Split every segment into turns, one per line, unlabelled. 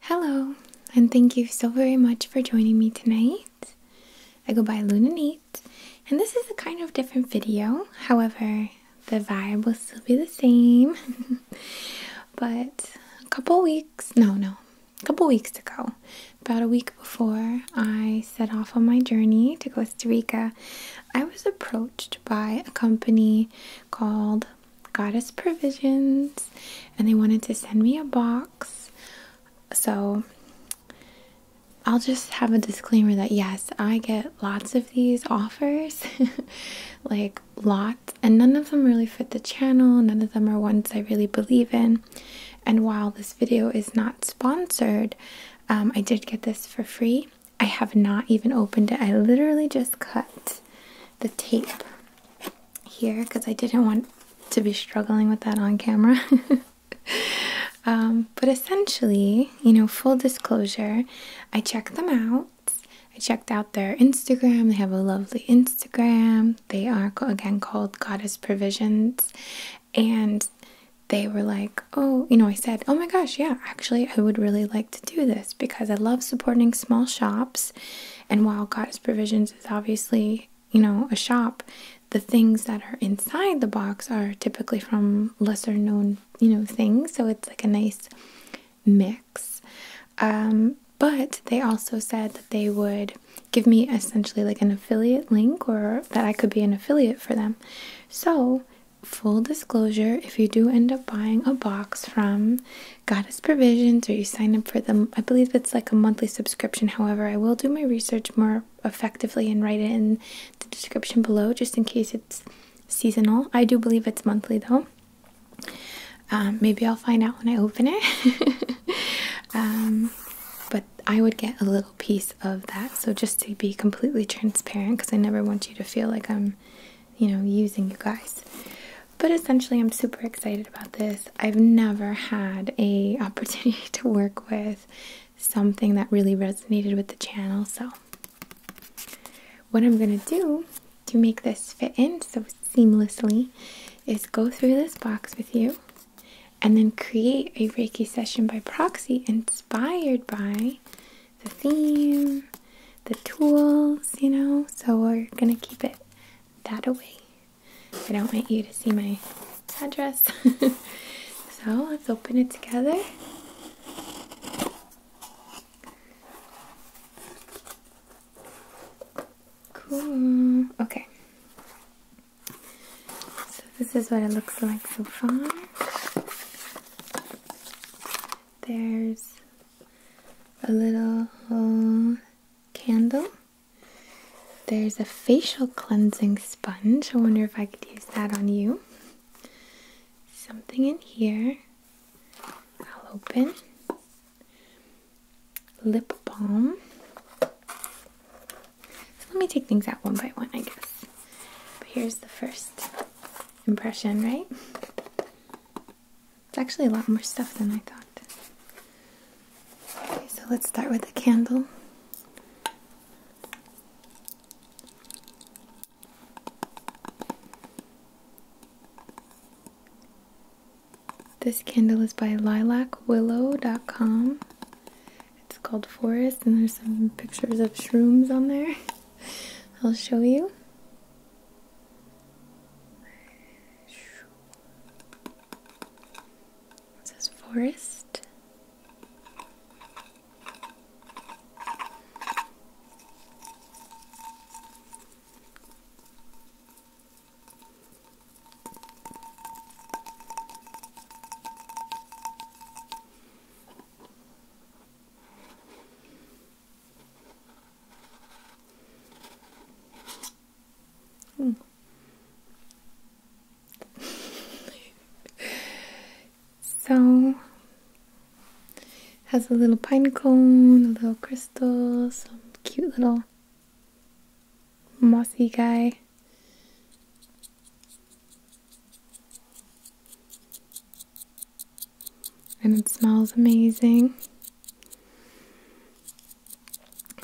Hello, and thank you so very much for joining me tonight. I go by Luna Nate, and this is a kind of different video. However, the vibe will still be the same. but a couple weeks, no, no, a couple weeks ago, about a week before I set off on my journey to Costa Rica, I was approached by a company called Goddess Provisions, and they wanted to send me a box. So I'll just have a disclaimer that yes, I get lots of these offers, like lots, and none of them really fit the channel. None of them are ones I really believe in. And while this video is not sponsored, um, I did get this for free. I have not even opened it. I literally just cut the tape here because I didn't want to be struggling with that on camera. Um, but essentially, you know, full disclosure, I checked them out. I checked out their Instagram. They have a lovely Instagram. They are again called Goddess Provisions. And they were like, oh, you know, I said, oh my gosh, yeah, actually, I would really like to do this because I love supporting small shops and while God's Provisions is obviously, you know, a shop, the things that are inside the box are typically from lesser known, you know, things. So it's like a nice mix. Um, but they also said that they would give me essentially like an affiliate link or that I could be an affiliate for them. So, full disclosure, if you do end up buying a box from Goddess Provisions, or you sign up for them. I believe it's like a monthly subscription. However, I will do my research more effectively and write it in the description below just in case it's seasonal. I do believe it's monthly though. Um, maybe I'll find out when I open it. Um, but I would get a little piece of that. So just to be completely transparent, because I never want you to feel like I'm you know, using you guys. But essentially, I'm super excited about this. I've never had a opportunity to work with something that really resonated with the channel. So what I'm going to do to make this fit in so seamlessly is go through this box with you and then create a Reiki session by proxy inspired by the theme, the tools, you know. So we're going to keep it that away. I don't want you to see my address. so let's open it together. Cool. Okay. So this is what it looks like so far. There's a little uh, candle. There's a facial cleansing sponge. I wonder if I could use that on you. Something in here. I'll open. Lip balm. So let me take things out one by one, I guess. But here's the first impression, right? It's actually a lot more stuff than I thought. so let's start with the candle. This candle is by lilacwillow.com. It's called Forest, and there's some pictures of shrooms on there. I'll show you. It says forest. Hmm. so has a little pine cone, a little crystal, some cute little mossy guy and it smells amazing.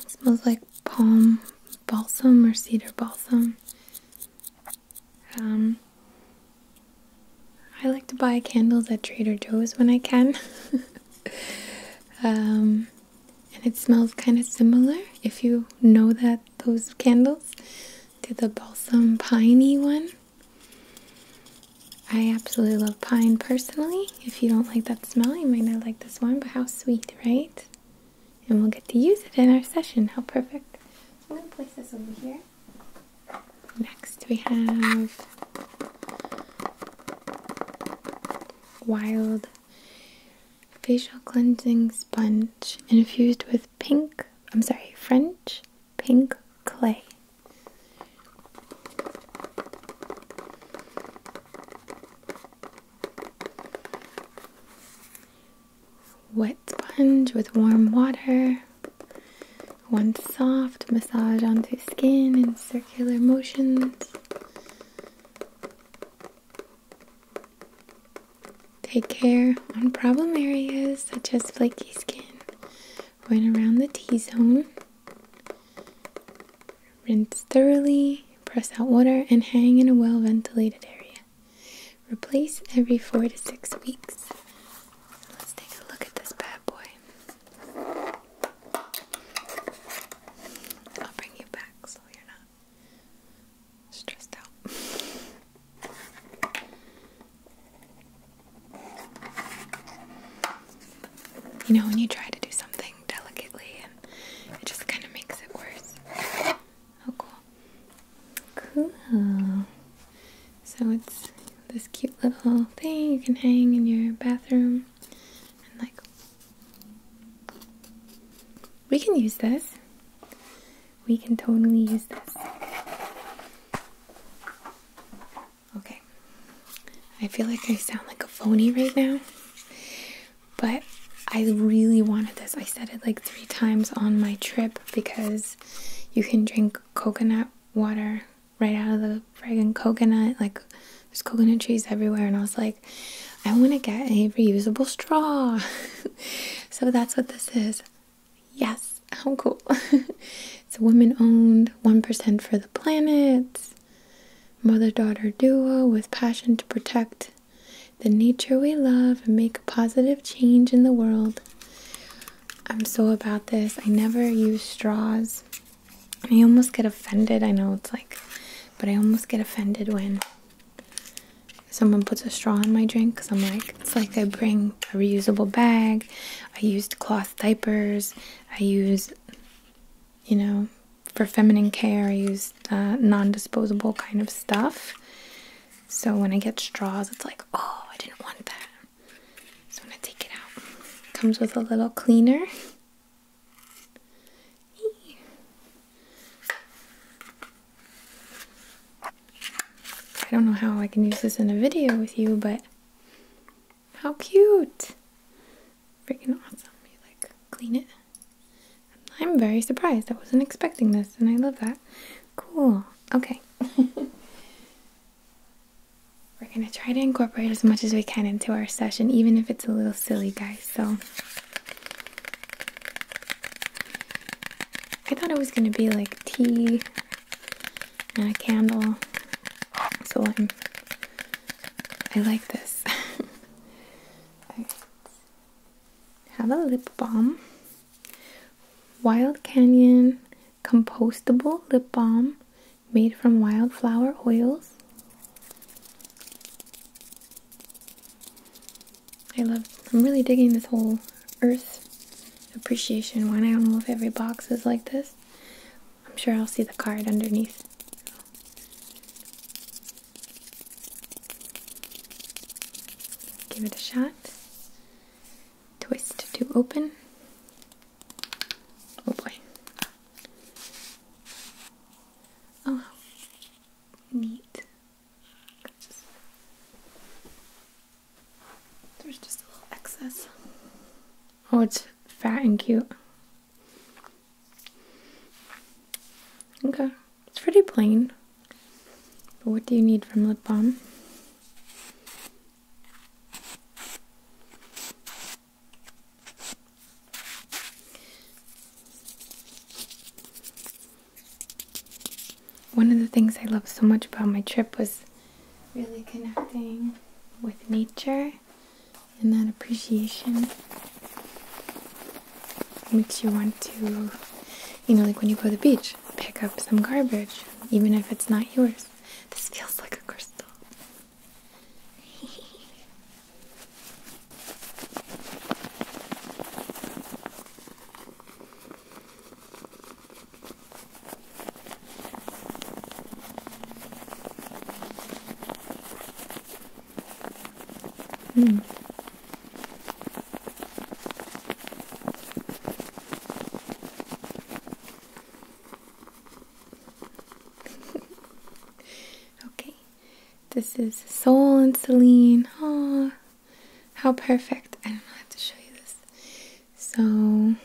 smells like palm balsam or cedar balsam. Um, I like to buy candles at Trader Joe's when I can. um, and it smells kind of similar if you know that those candles to the balsam piney one. I absolutely love pine personally. If you don't like that smell, you might not like this one, but how sweet, right? And we'll get to use it in our session. How perfect. I'm going to place this over here. Next, we have wild facial cleansing sponge infused with pink, I'm sorry, French pink clay. Wet sponge with warm water. One soft massage onto skin in circular motions. Take care on problem areas such as flaky skin or around the T zone. Rinse thoroughly, press out water, and hang in a well ventilated area. Replace every four to six weeks. Let's take a look at this bad boy. I'll bring you back so you're not stressed out. You know, when you try to do something delicately and it just kind of makes it worse. Oh, cool. Cool. So it's this cute little thing you can hang in your bathroom and like we can use this. We can totally use this. Okay. I feel like I sound like a phony right now, but I really wanted this. I said it like three times on my trip because you can drink coconut water right out of the friggin' coconut. Like, there's coconut trees everywhere, and I was like, I want to get a reusable straw. so that's what this is. Yes, how cool. It's a women owned, 1% for the planet, mother daughter duo with passion to protect the nature we love and make a positive change in the world. I'm so about this. I never use straws. I almost get offended. I know it's like, but I almost get offended when someone puts a straw in my drink because I'm like, it's like I bring a reusable bag, I used cloth diapers, I use, you know, for feminine care, I use uh, non disposable kind of stuff. So when I get straws, it's like, oh, I didn't want that. So I'm going to take it out. comes with a little cleaner. I don't know how I can use this in a video with you, but how cute! Freaking awesome. You like clean it. I'm very surprised. I wasn't expecting this and I love that. Cool. Okay. We're going to try to incorporate as much as we can into our session, even if it's a little silly, guys. So, I thought it was going to be like tea and a candle. So I'm, I like this. I Have a lip balm. Wild Canyon compostable lip balm made from wildflower oils. I love, I'm really digging this whole earth appreciation one. I don't know if every box is like this, I'm sure I'll see the card underneath. Give it a shot. Twist to open. Oh boy. Oh, neat. There's just a little excess. Oh, it's fat and cute. Okay, it's pretty plain. But what do you need from lip balm? One of the things I love so much about my trip was really connecting with nature and that appreciation makes you want to, you know, like when you go to the beach, pick up some garbage, even if it's not yours. This feels like a crystal. Mm. okay, this is Soul and Celine. Ah, how perfect! I don't know, I have to show you this. So,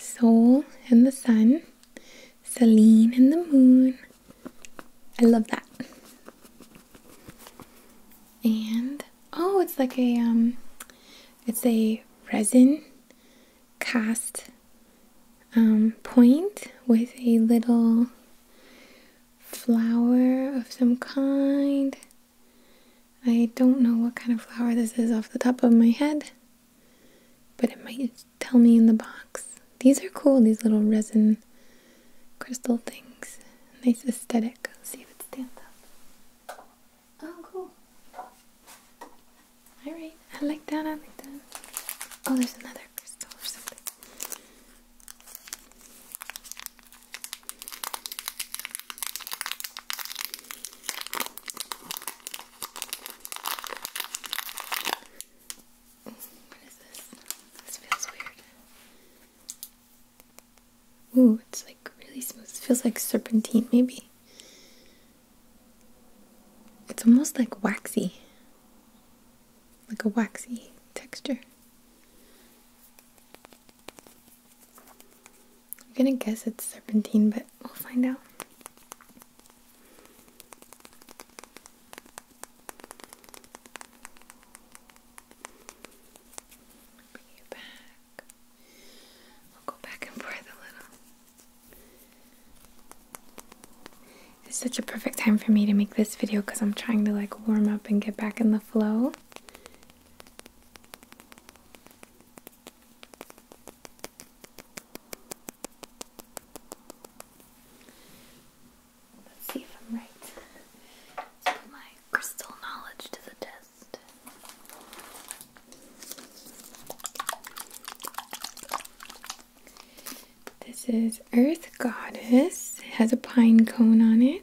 Soul and the sun, Selene and the moon. I love that. And oh, it's like a um it's a resin cast um point with a little flower of some kind I don't know what kind of flower this is off the top of my head, but it might tell me in the box. These are cool, these little resin crystal things. Nice aesthetic. Let's see if it stands up. Oh, cool. Alright, I like that, I like that. Oh, there's another crystal or something what is this? This feels weird. Ooh, it's like really smooth. It feels like serpentine, maybe. It's almost like waxy. Like a waxy texture. I'm gonna guess it's serpentine, but we'll find out. Bring you back. I'll go back and breathe a little. It's such a perfect time for me to make this video because I'm trying to like warm up and get back in the flow. Let's see if I'm right. put my crystal knowledge to the test. This is Earth Goddess. It has a pine cone on it.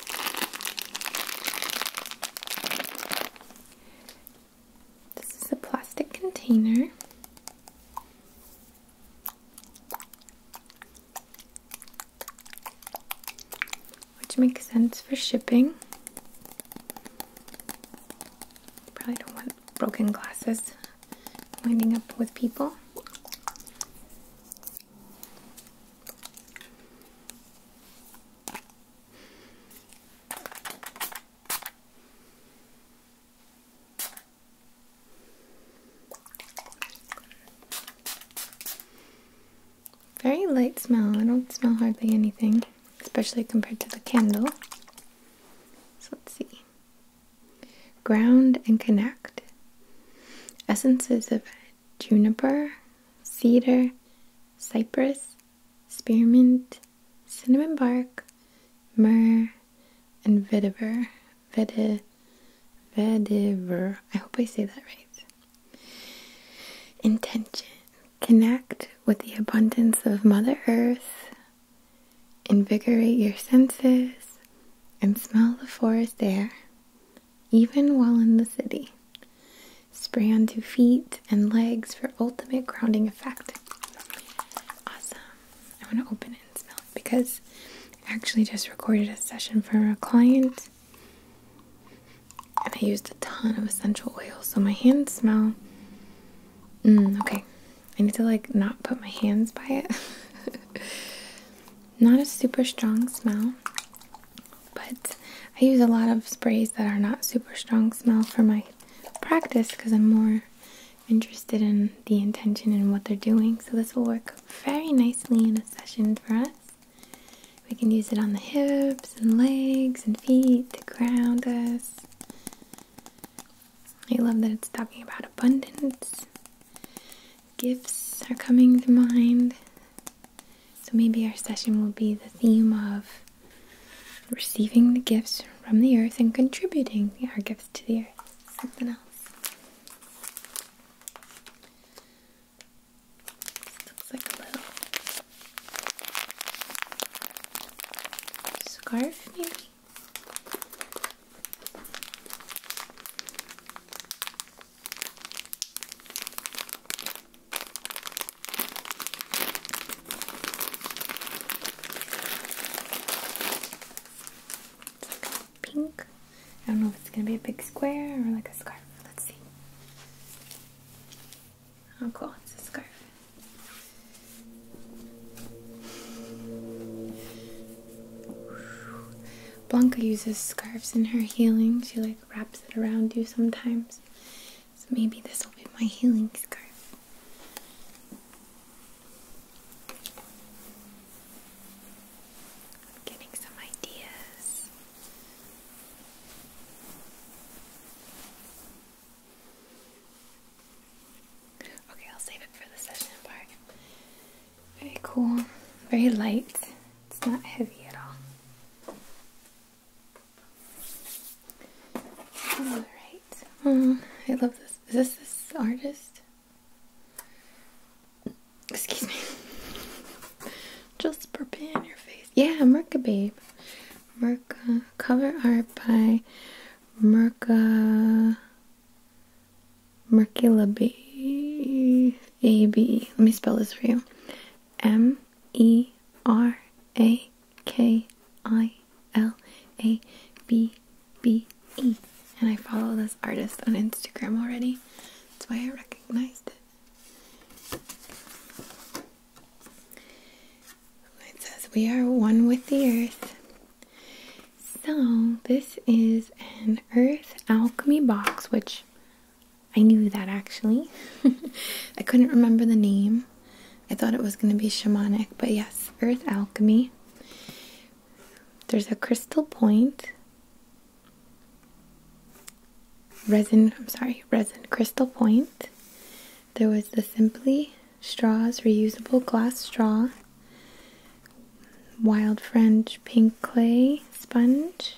This is a plastic container. Which makes sense for shipping. Probably don't want broken glasses winding up with people. Very light smell. I don't smell hardly anything, especially compared to the candle. So let's see. Ground and connect. Essences of juniper, cedar, cypress, spearmint, cinnamon bark, myrrh, and vetiver. Vetiver. Vetiver. I hope I say that right. Intention. Connect with the abundance of Mother Earth. Invigorate your senses and smell the forest air even while in the city. Spray onto feet and legs for ultimate grounding effect. Awesome. I want to open and smell because I actually just recorded a session for a client and I used a ton of essential oils, so my hands smell. Mm, okay, I need to like not put my hands by it. Not a super strong smell, but I use a lot of sprays that are not super strong smell for my practice because I'm more interested in the intention and what they're doing. So this will work very nicely in a session for us. We can use it on the hips and legs and feet to ground us. I love that it's talking about abundance gifts are coming to mind. So maybe our session will be the theme of receiving the gifts from the earth and contributing our gifts to the earth. Something else. looks like a little scarf, maybe pink. I don't know if it's gonna be a big square or like a scarf. Let's see. Oh cool, it's a scarf. Blanca uses scarves in her healing. She like wraps it around you sometimes. So maybe this will be my healing scarf. getting some ideas. Okay, I'll save it for the session part. Very cool, very light. It's not heavy at all. Alright, um, I love this. Is this this artist? Excuse me. Just prepare your face. Yeah, Merca Babe. Merca cover art by Merca Merkula B A B. Let me spell this for you. M E R A K I L A B B E. And I follow this artist on Instagram already. That's why I recognized it. It says, We are one with the earth. So, this is an Earth Alchemy box, which I knew that actually. I couldn't remember the name. I thought it was going to be shamanic, but yes, Earth Alchemy. There's a crystal point, resin, I'm sorry, resin crystal point. There was the Simply Straws reusable glass straw wild French pink clay sponge,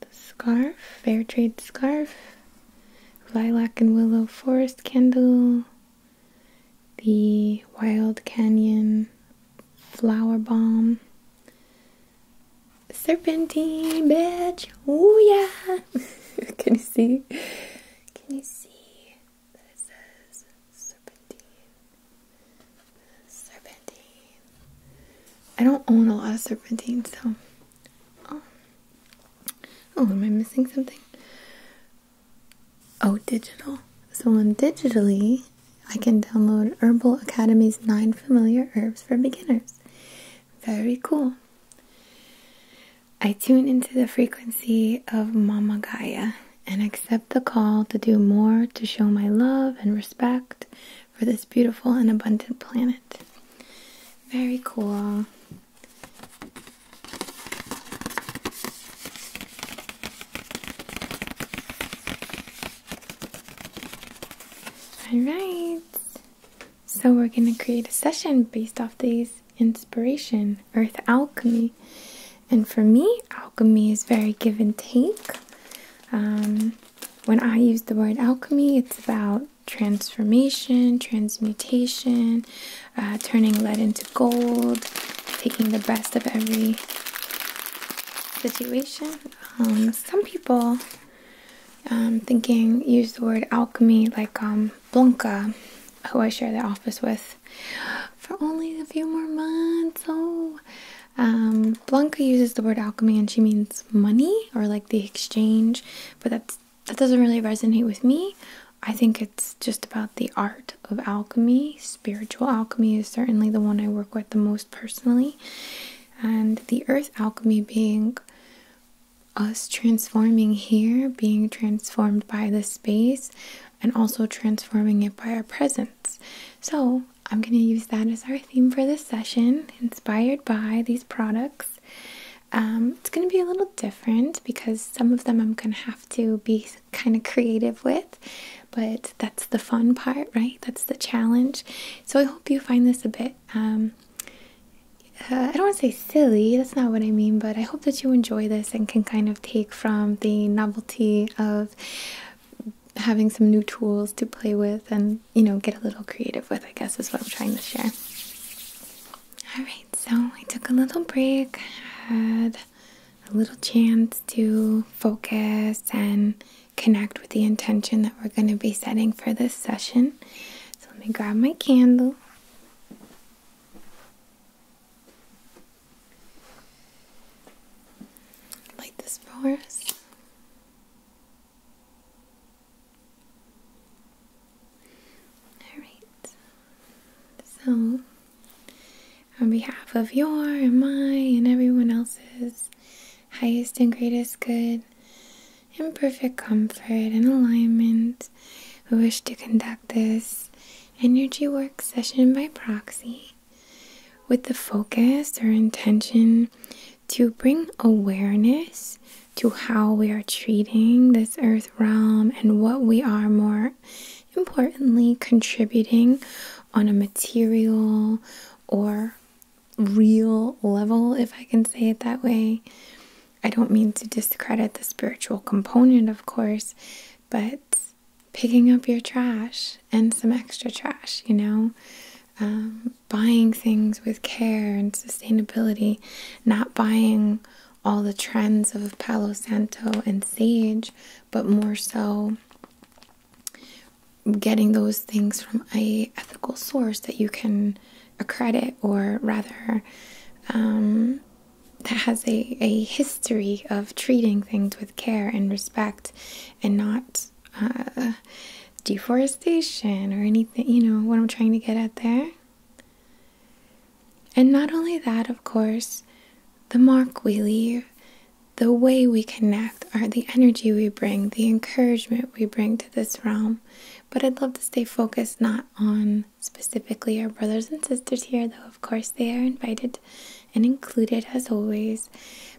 the scarf, fair trade scarf, lilac and willow forest candle, the wild canyon flower bomb. Serpentine bitch, ooh yeah! Can you see? Can you see? that it says serpentine. Serpentine. I don't own a lot of serpentine, so. Um, oh. am I missing something? Oh, digital. So on digitally, I can download Herbal Academy's nine familiar herbs for beginners. Very cool. I tune into the frequency of Mama Gaia and accept the call to do more to show my love and respect for this beautiful and abundant planet. Very cool. All right. So we're going to create a session based off these inspiration, earth alchemy. And for me, alchemy is very give and take. Um, when I use the word alchemy, it's about transformation, transmutation, uh, turning lead into gold, taking the best of every situation. Um, some people um, thinking use the word alchemy like Blanca, who I share the office with for only a few more months. Oh, um, Blanca uses the word alchemy and she means money or like the exchange, but that that doesn't really resonate with me. I think it's just about the art of alchemy. Spiritual alchemy is certainly the one I work with the most personally, and the earth alchemy being us transforming here, being transformed by the space, and also transforming it by our presence. So, I'm going to use that as our theme for this session, inspired by these products. Um, it's going to be a little different because some of them I'm going to have to be kind of creative with, but that's the fun part, right? That's the challenge. So I hope you find this a bit, um, uh, I don't want to say silly, that's not what I mean, but I hope that you enjoy this and can kind of take from the novelty of having some new tools to play with and you know get a little creative with i guess is what i'm trying to share all right so i took a little break had a little chance to focus and connect with the intention that we're going to be setting for this session so let me grab my candle Light this for us. Alright. So, on behalf of your and my and everyone else's highest and greatest good and perfect comfort and alignment, we wish to conduct this energy work session by proxy with the focus or intention to bring awareness to how we are treating this earth realm and what we are more importantly contributing on a material or real level, if I can say it that way. I don't mean to discredit the spiritual component, of course, but picking up your trash and some extra trash, you know, um, buying things with care and sustainability, not buying all the trends of Palo Santo and sage, but more so getting those things from a ethical source that you can accredit or rather um, that has a, a history of treating things with care and respect and not uh, deforestation or anything. You know what I'm trying to get at there? And not only that, of course, the mark we leave, the way we connect, or the energy we bring, the encouragement we bring to this realm. But I'd love to stay focused not on specifically our brothers and sisters here, though of course they are invited and included as always,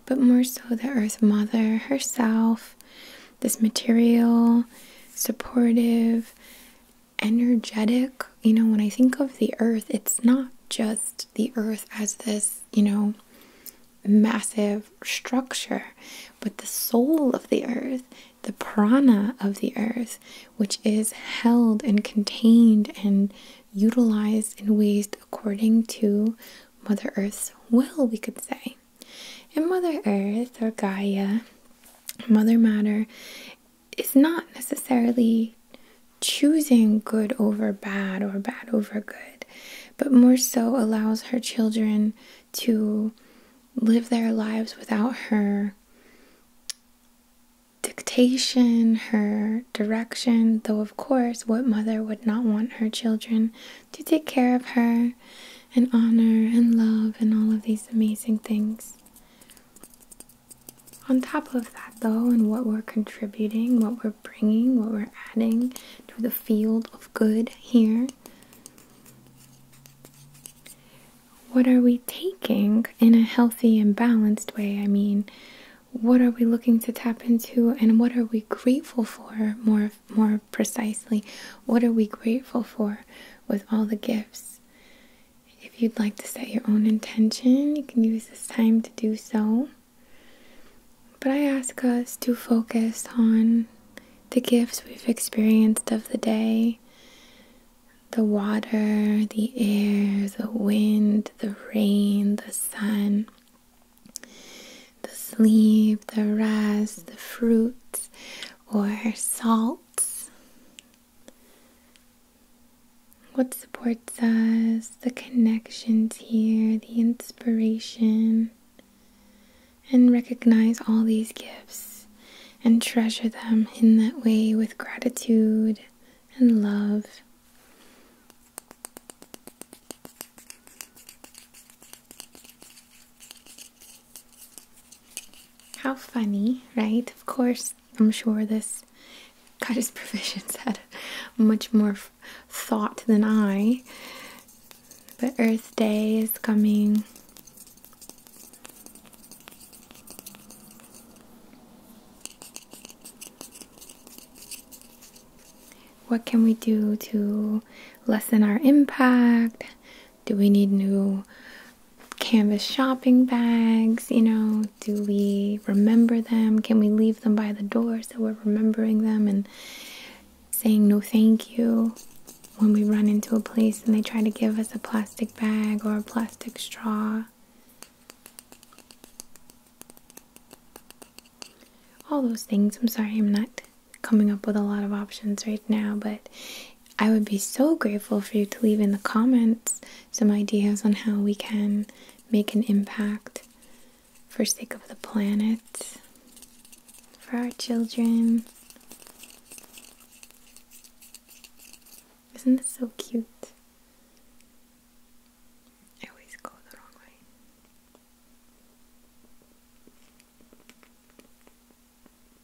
but more so the Earth Mother herself, this material, supportive, energetic. You know, when I think of the Earth, it's not just the Earth as this, you know, massive structure, but the soul of the Earth the prana of the earth, which is held and contained and utilized and ways according to Mother Earth's will, we could say. And Mother Earth or Gaia, Mother Matter, is not necessarily choosing good over bad or bad over good, but more so allows her children to live their lives without her dictation, her direction, though, of course, what mother would not want her children to take care of her and honor and love and all of these amazing things? On top of that, though, and what we're contributing, what we're bringing, what we're adding to the field of good here, what are we taking in a healthy and balanced way? I mean, what are we looking to tap into and what are we grateful for more more precisely? What are we grateful for with all the gifts? If you'd like to set your own intention, you can use this time to do so. But I ask us to focus on the gifts we've experienced of the day the water, the air, the wind, the rain, the sun, the sleep, the rest, the fruits or salts. What supports us, the connections here, the inspiration, and recognize all these gifts and treasure them in that way with gratitude and love. How funny, right? Of course, I'm sure this goddess provisions had much more thought than I. But Earth Day is coming. What can we do to lessen our impact? Do we need new canvas shopping bags? You know, do we remember them? Can we leave them by the door so we're remembering them and saying no thank you when we run into a place and they try to give us a plastic bag or a plastic straw? All those things. I'm sorry I'm not coming up with a lot of options right now, but I would be so grateful for you to leave in the comments some ideas on how we can make an impact for sake of the planet, for our children. Isn't this so cute? I always go the wrong way.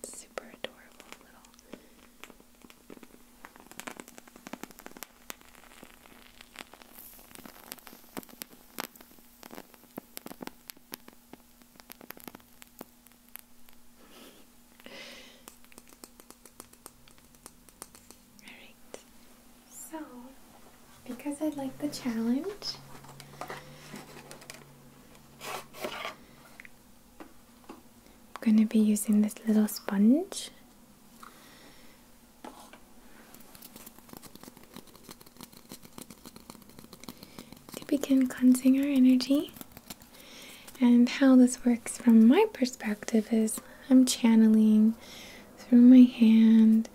Super adorable little. Alright, so because I like the challenge, I'm going to be using this little sponge. To begin cleansing our energy and how this works from my perspective is I'm channeling through my hand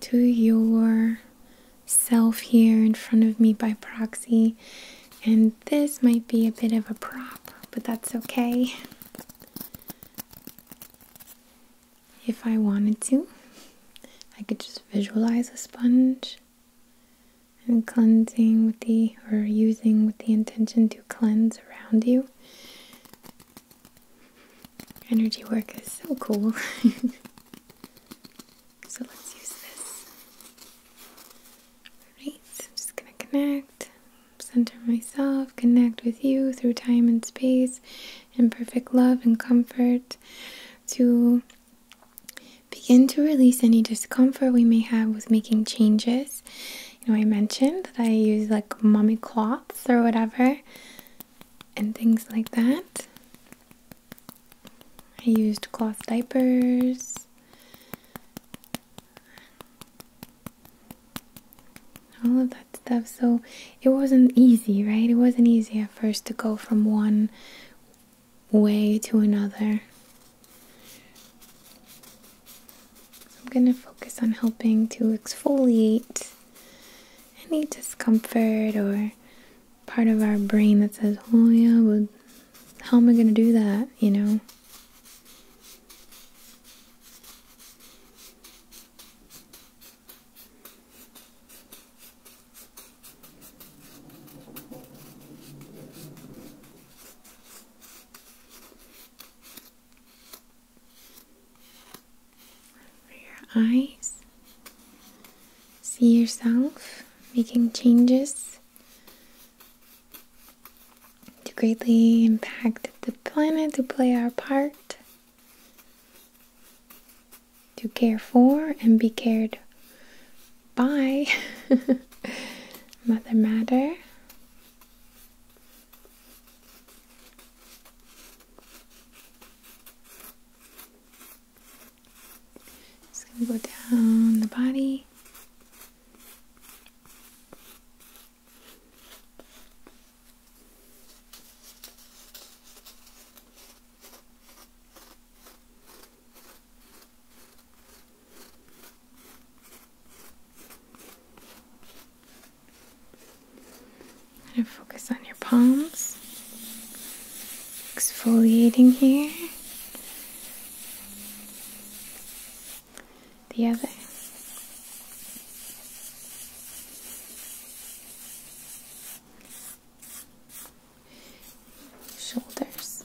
to your self here in front of me by proxy. And this might be a bit of a prop, but that's okay. If I wanted to, I could just visualize a sponge and cleansing with the or using with the intention to cleanse around you. Energy work is so cool. so let's use this. Alright, I'm just gonna connect, center myself, connect with you through time and space in perfect love and comfort to begin to release any discomfort we may have with making changes you know I mentioned that I use like mummy cloths or whatever and things like that. I used cloth diapers. All of that stuff. So it wasn't easy, right? It wasn't easy at first to go from one way to another. I'm going to focus on helping to exfoliate any discomfort or part of our brain that says, oh yeah, but how am I going to do that, you know? For your eyes, see yourself making changes to greatly impact the planet, to play our part, to care for and be cared Bye. Mother Matter. Just gonna go down the body. And focus on your palms. Exfoliating here. The other. Shoulders.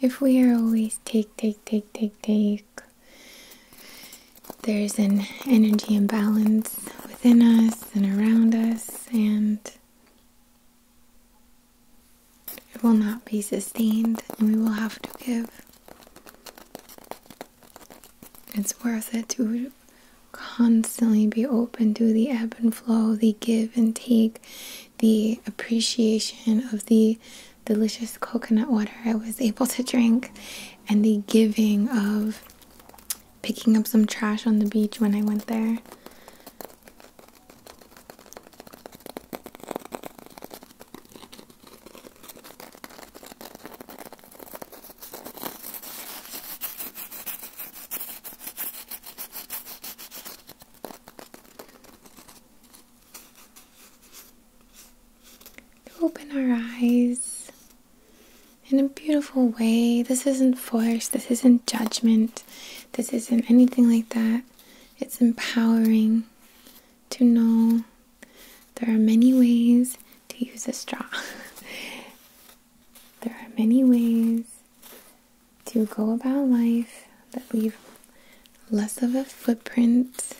If we are always take, take, take, take, take, there's an energy imbalance within us and around us, and it will not be sustained, and we will have to give. It's worth it to constantly be open to the ebb and flow, the give and take, the appreciation of the delicious coconut water I was able to drink, and the giving of picking up some trash on the beach when I went there. Open our eyes in a beautiful way. This isn't force, this isn't judgment. This isn't anything like that. It's empowering to know there are many ways to use a straw. there are many ways to go about life that leave less of a footprint.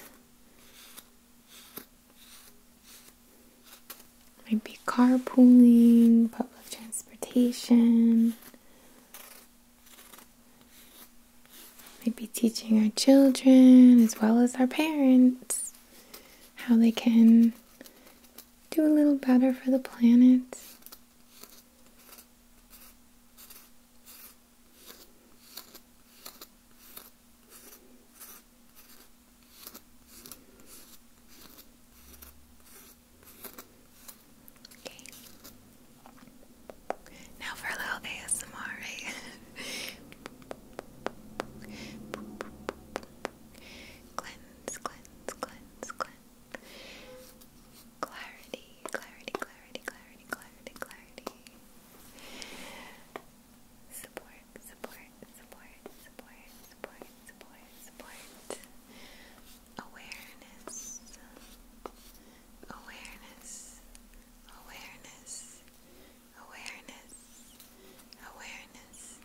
Might be carpooling, public transportation, Maybe teaching our children as well as our parents how they can do a little better for the planet. Okay. Now for a little ASMR, cleanse, cleanse, cleanse, cleanse. Clarity, clarity, clarity, clarity, clarity, clarity. Support, support, support, support, support, support, support awareness, awareness, awareness, awareness, awareness,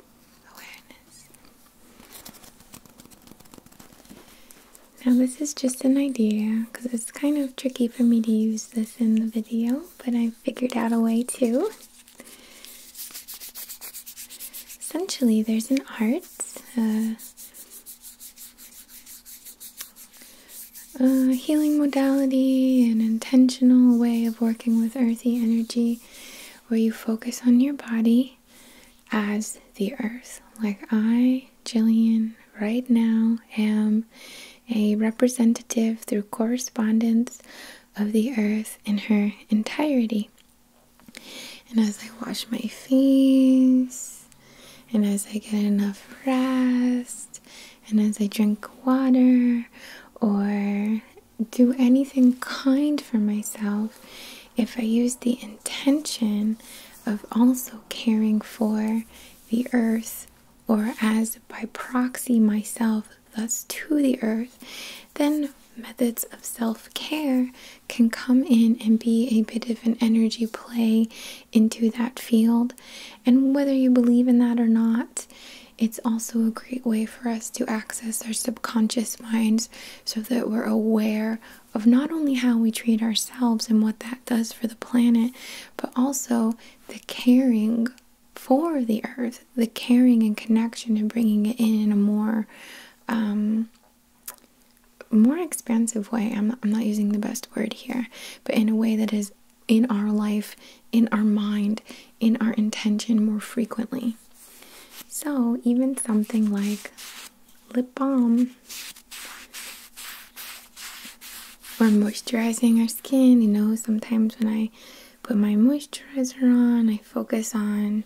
awareness. Now, this is just an idea because it's kind of tricky for me to use this in the video, but I figured out a way to. Essentially, there's an art, uh, a healing modality, an intentional way of working with earthy energy where you focus on your body as the earth. Like I, Jillian, right now am a representative through correspondence of the earth in her entirety. And as I wash my face, and as I get enough rest, and as I drink water or do anything kind for myself, if I use the intention of also caring for the earth, or as by proxy myself, thus to the earth, then methods of self care can come in and be a bit of an energy play into that field. And whether you believe in that or not, it's also a great way for us to access our subconscious minds so that we're aware of not only how we treat ourselves and what that does for the planet, but also the caring for the earth, the caring and connection and bringing it in in a more um, more expansive way. I'm not, using the best word here, but in a way that is in our life, in our mind, in our intention more frequently. So, even something like lip balm or moisturizing our skin, you know, sometimes when I put my moisturizer on, I focus on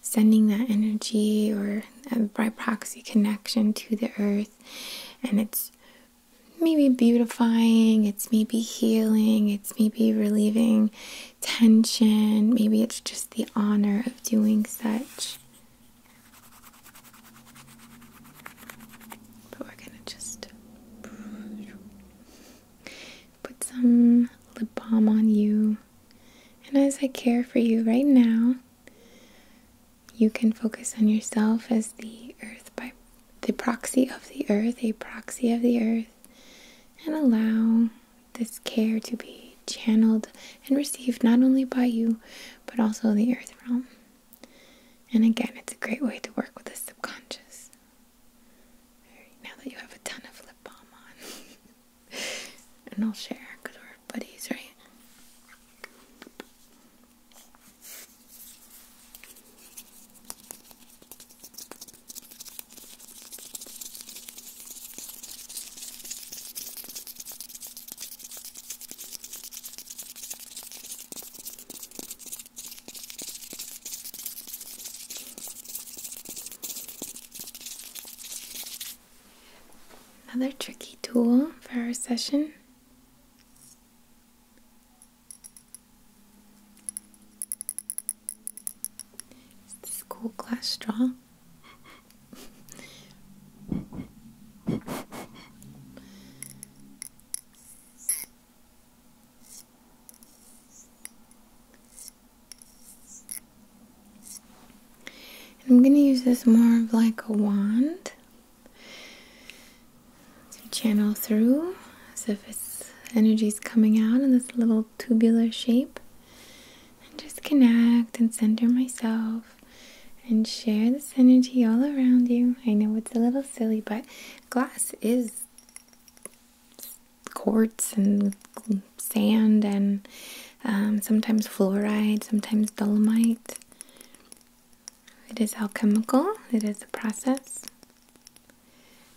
sending that energy or by proxy connection to the earth, and it's maybe beautifying, it's maybe healing, it's maybe relieving tension, maybe it's just the honor of doing such. But we're gonna just put some lip balm on you. And as I care for you right now, you can focus on yourself as the earth by the proxy of the earth, a proxy of the earth, and allow this care to be channeled and received not only by you but also the earth realm. And again, it's a great way to work with the subconscious. now that you have a ton of lip balm on. and I'll share because we're buddies, right? Another tricky tool for our session. Is glass straw? And I'm going to use this more of like a wand to channel through as if it's energy's coming out in this little tubular shape. And just connect and center myself and share this energy all around you. I know it's a little silly, but glass is quartz and sand and um, sometimes fluoride, sometimes dolomite. It is alchemical, it is a process.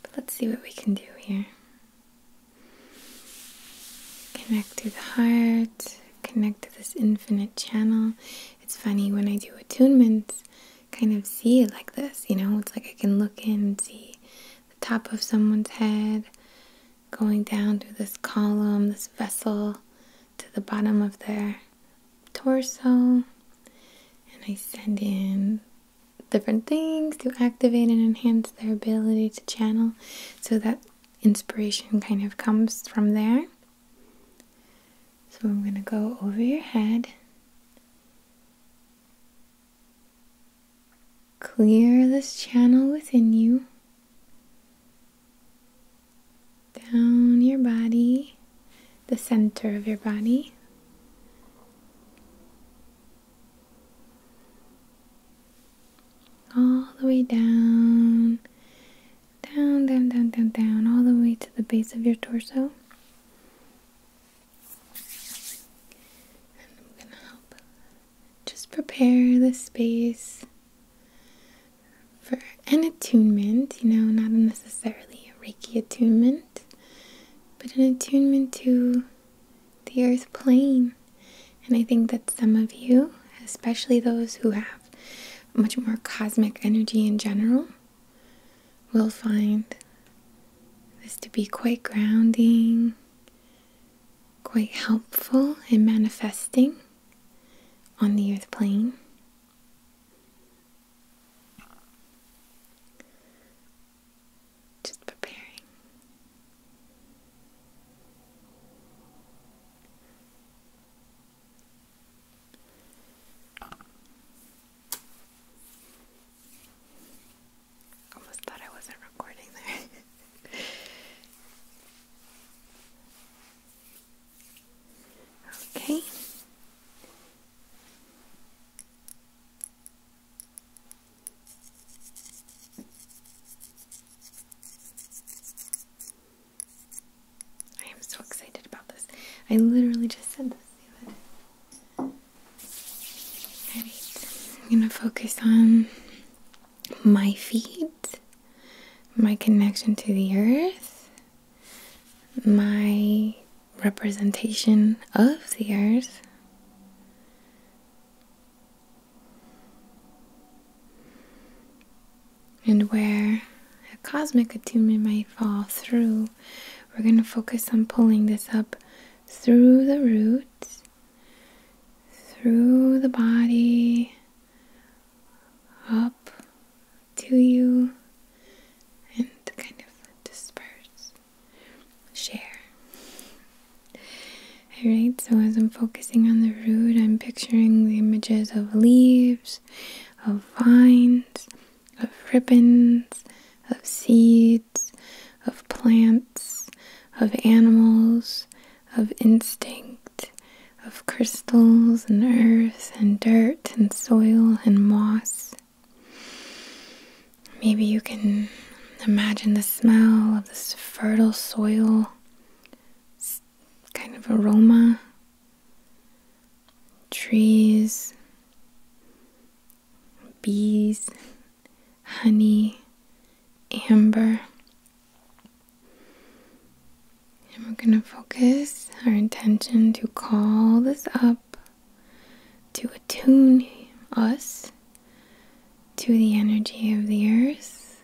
But let's see what we can do here. Connect to the heart, connect to this infinite channel. It's funny when I do attunements, kind of see it like this, you know? It's like I can look in and see the top of someone's head going down through this column, this vessel, to the bottom of their torso. And I send in different things to activate and enhance their ability to channel so that inspiration kind of comes from there. So I'm going to go over your head. Clear this channel within you, down your body, the center of your body. All the way down, down, down, down, down, down, all the way to the base of your torso just prepare the space for an attunement, you know, not necessarily a Reiki attunement, but an attunement to the earth plane. And I think that some of you, especially those who have much more cosmic energy in general, will find this to be quite grounding quite helpful in manifesting on the earth plane. Just preparing. Almost thought I wasn't recording there. okay. I am so excited about this. I literally just said this. I'm gonna focus on my feet, my connection to the earth, my representation of the earth. And where a cosmic attunement might fall through, we're going to focus on pulling this up through the roots through the body up to you and kind of disperse, share. Alright, so as I'm focusing on the root, I'm picturing the images of leaves, of vines, of ribbons, of seeds, of plants, of animals, of instinct, of crystals and earth and dirt and soil and moss. Maybe you can imagine the smell of this fertile soil, kind of aroma, trees, bees honey, amber. And we're going to focus our intention to call this up, to attune us to the energy of the earth,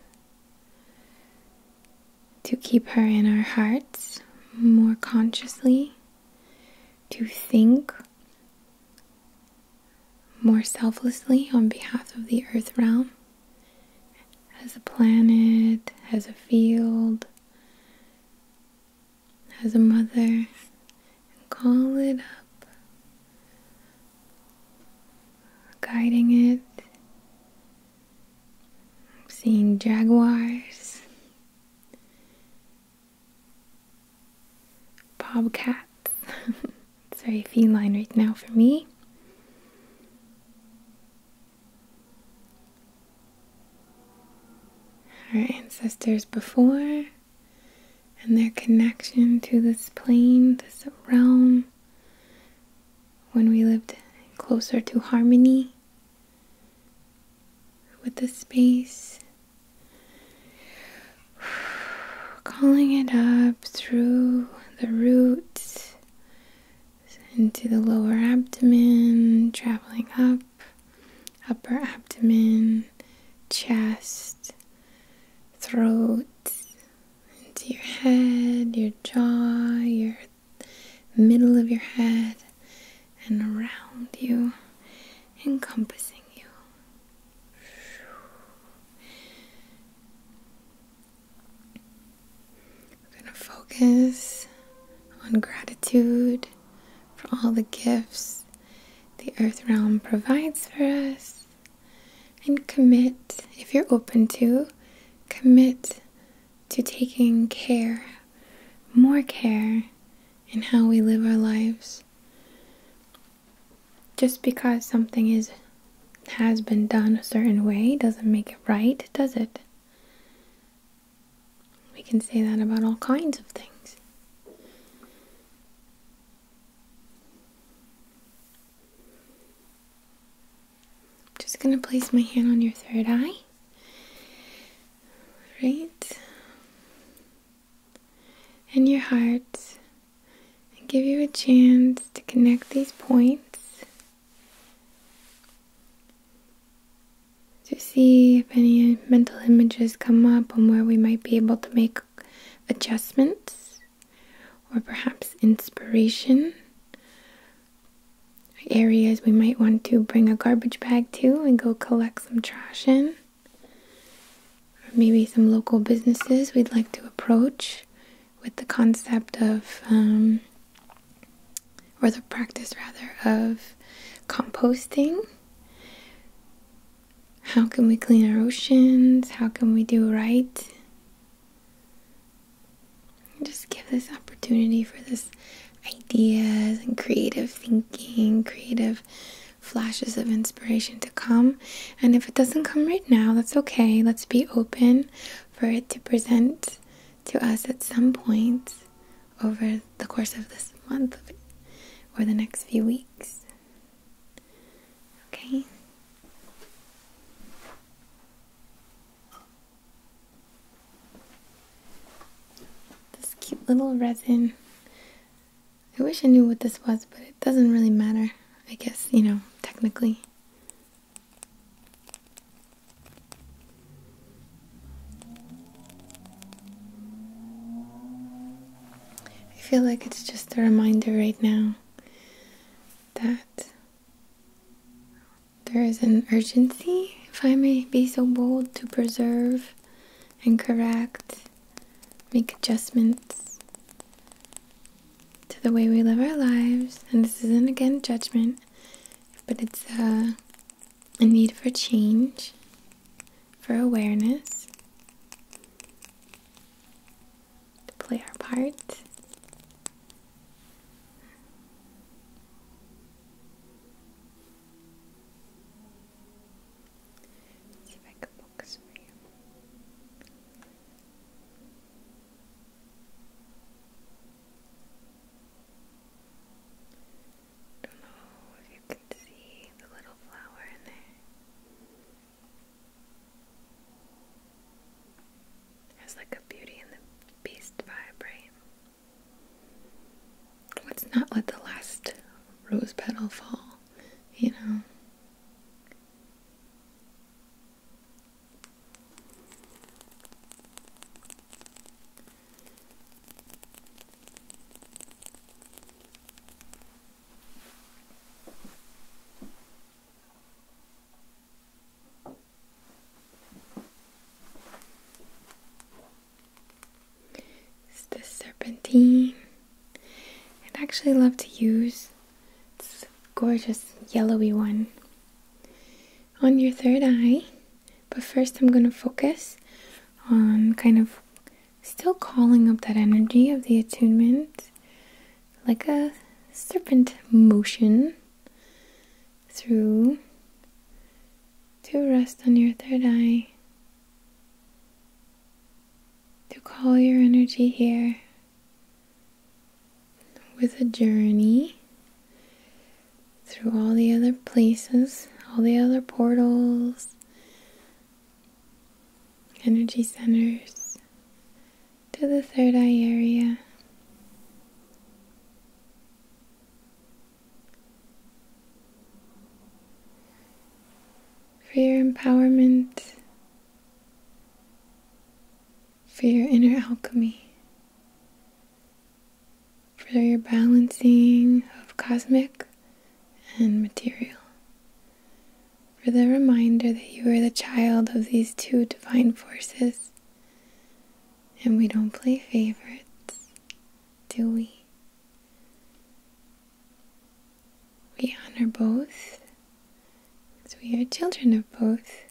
to keep her in our hearts more consciously, to think more selflessly on behalf of the earth realm as a planet, as a field, as a mother, and call it up, guiding it, seeing jaguars, bobcats. sorry, feline right now for me. Our ancestors before and their connection to this plane, this realm, when we lived closer to harmony with the space Calling it up through the roots into the lower abdomen, traveling up, upper abdomen, chest, throat, into your head, your jaw, your middle of your head, and around you, encompassing you. We're going to focus on gratitude for all the gifts the earth realm provides for us and commit, if you're open to, commit to taking care, more care in how we live our lives just because something is has been done a certain way doesn't make it right, does it? We can say that about all kinds of things. Just gonna place my hand on your third eye. Right? And your heart and give you a chance to connect these points to see if any mental images come up and where we might be able to make adjustments or perhaps inspiration areas we might want to bring a garbage bag to and go collect some trash in or maybe some local businesses we'd like to approach with the concept of, um, or the practice rather, of composting. How can we clean our oceans? How can we do right? just give this opportunity for this ideas and creative thinking, creative flashes of inspiration to come. And if it doesn't come right now, that's okay. Let's be open for it to present to us at some point over the course of this month or the next few weeks. Okay. This cute little resin I wish I knew what this was, but it doesn't really matter, I guess, you know, technically. I feel like it's just a reminder right now that there is an urgency, if I may be so bold, to preserve and correct make adjustments to the way we live our lives. And this isn't again judgment, but it's uh, a, need for change, for awareness, to play our part let see if I can focus for you. Don't know if you can see the little flower in there. There's like a Beauty and the Beast vibe, right? Let's not let the last rose petal fall, you know? It's the serpentine I'd actually love to use this gorgeous yellowy one on your third eye. But first, I'm going to focus on kind of still calling up that energy of the attunement like a serpent motion through to rest on your third eye to call your energy here with a journey through all the other places, all the other portals, energy centers, to the third eye area for your empowerment, for your inner alchemy, for your balancing of cosmic and material, for the reminder that you are the child of these two divine forces, and we don't play favorites, do we? We honor both because we are children of both.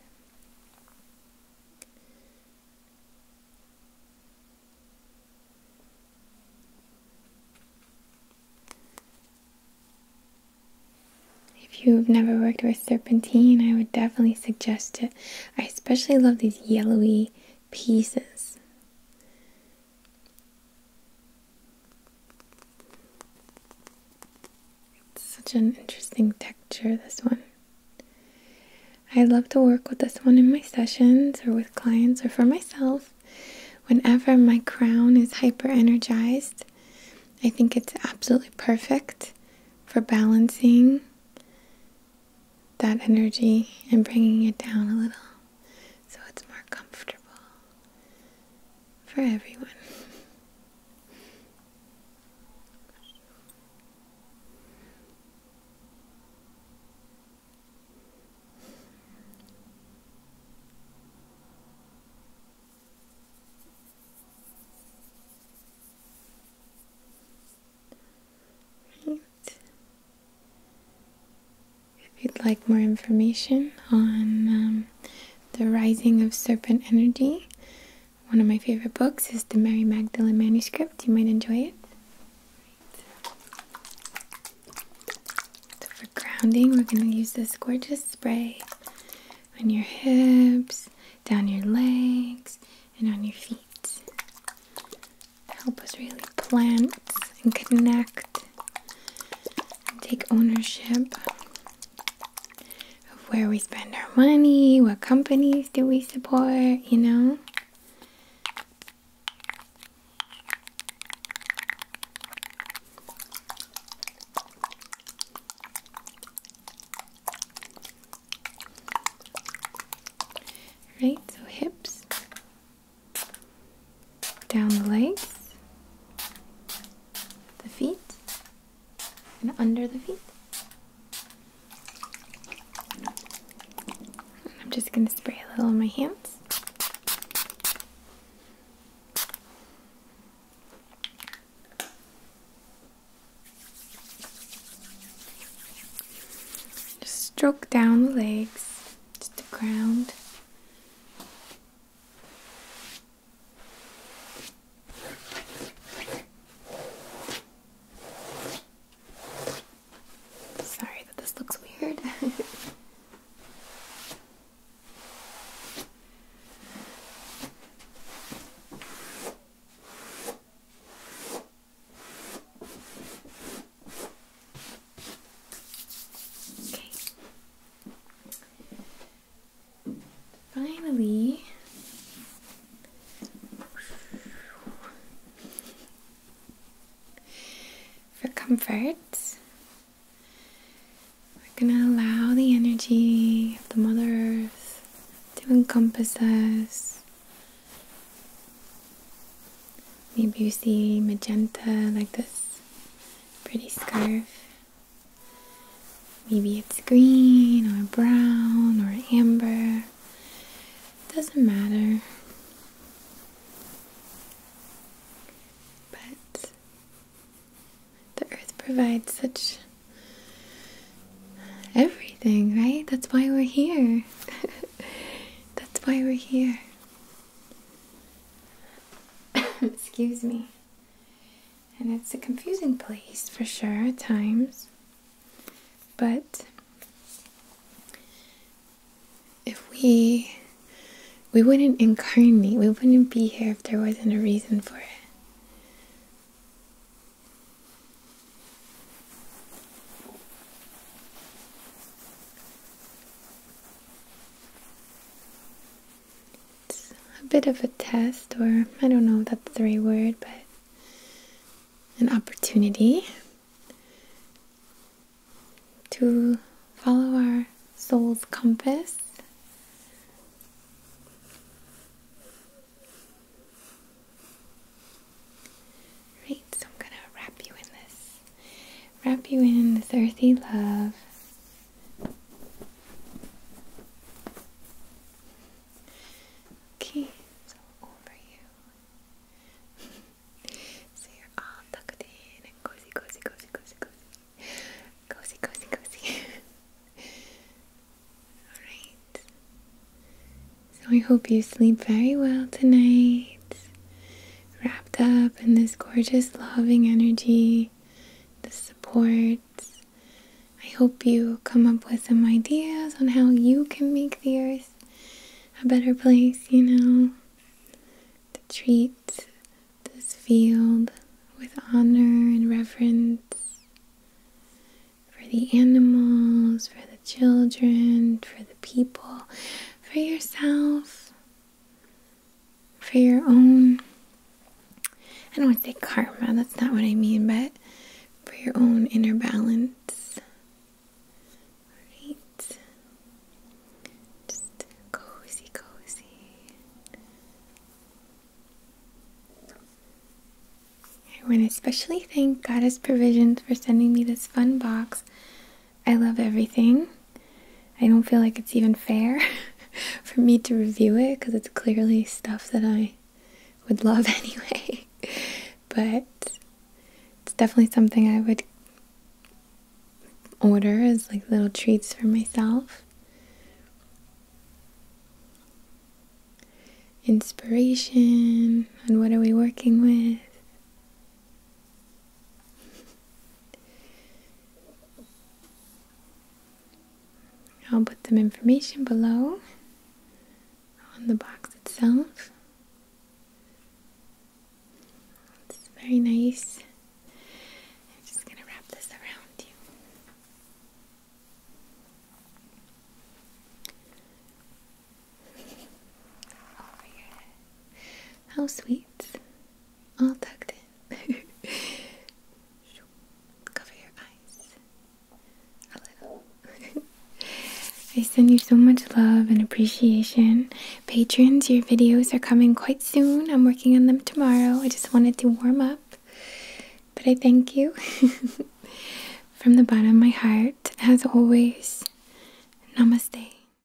If you've never worked with serpentine, I would definitely suggest it. I especially love these yellowy pieces such an interesting texture, this one. I love to work with this one in my sessions or with clients or for myself. Whenever my crown is hyper energized, I think it's absolutely perfect for balancing that energy and bringing it down a little so it's more comfortable for everyone. Right. If you'd like more information on um, the rising of serpent energy, one of my favorite books is the Mary Magdalene manuscript. You might enjoy it. for grounding, we're going to use this gorgeous spray on your hips, down your legs, and on your feet. Help us really plant and connect and take ownership of where we spend our money, what companies do we support, you know? Right, so hips down the legs, the feet, and under the feet. I'm just going to spray a little on my hands. Just stroke down the legs to the ground. Sorry that this looks weird. Finally, for comfort, we're going to allow the energy of the Mother Earth to encompass us. Maybe you see magenta like this pretty scarf. Maybe it's green or brown or amber. Doesn't matter. But the earth provides such everything, right? That's why we're here. That's why we're here. Excuse me. And it's a confusing place for sure at times. But if we we wouldn't incarnate, we wouldn't be here if there wasn't a reason for it. It's a bit of a test, or I don't know if that's the right word, but an opportunity to follow our soul's compass. Right, so I'm gonna wrap you in this wrap you in this earthy love. Okay, so over you. so you're all tucked in and cozy, cozy, cozy, cozy, cozy. Cozy, cozy, cozy. Alright. So I hope you sleep very well tonight wrapped up in this gorgeous, loving energy, the supports. I hope you come up with some ideas on how you can make the earth a better place, you know, to treat this field with honor and reverence for the animals, for the children, for the people, for yourself for your own I don't want to say karma, that's not what I mean, but for your own inner balance. Alright. Just cozy, cozy. I want to especially thank Goddess Provisions for sending me this fun box I love everything. I don't feel like it's even fair for me to review it because it's clearly stuff that I would love anyway. but it's definitely something I would order as like little treats for myself. Inspiration and what are we working with? I'll put some information below on the box itself. It's very nice. I'm just going to wrap this around you. Oh, How sweet all tucked in. Cover your eyes a little. I send you so much love and appreciation. Patrons, your videos are coming quite soon. I'm working on them tomorrow. I just wanted to warm up. But I thank you from the bottom of my heart. As always, namaste.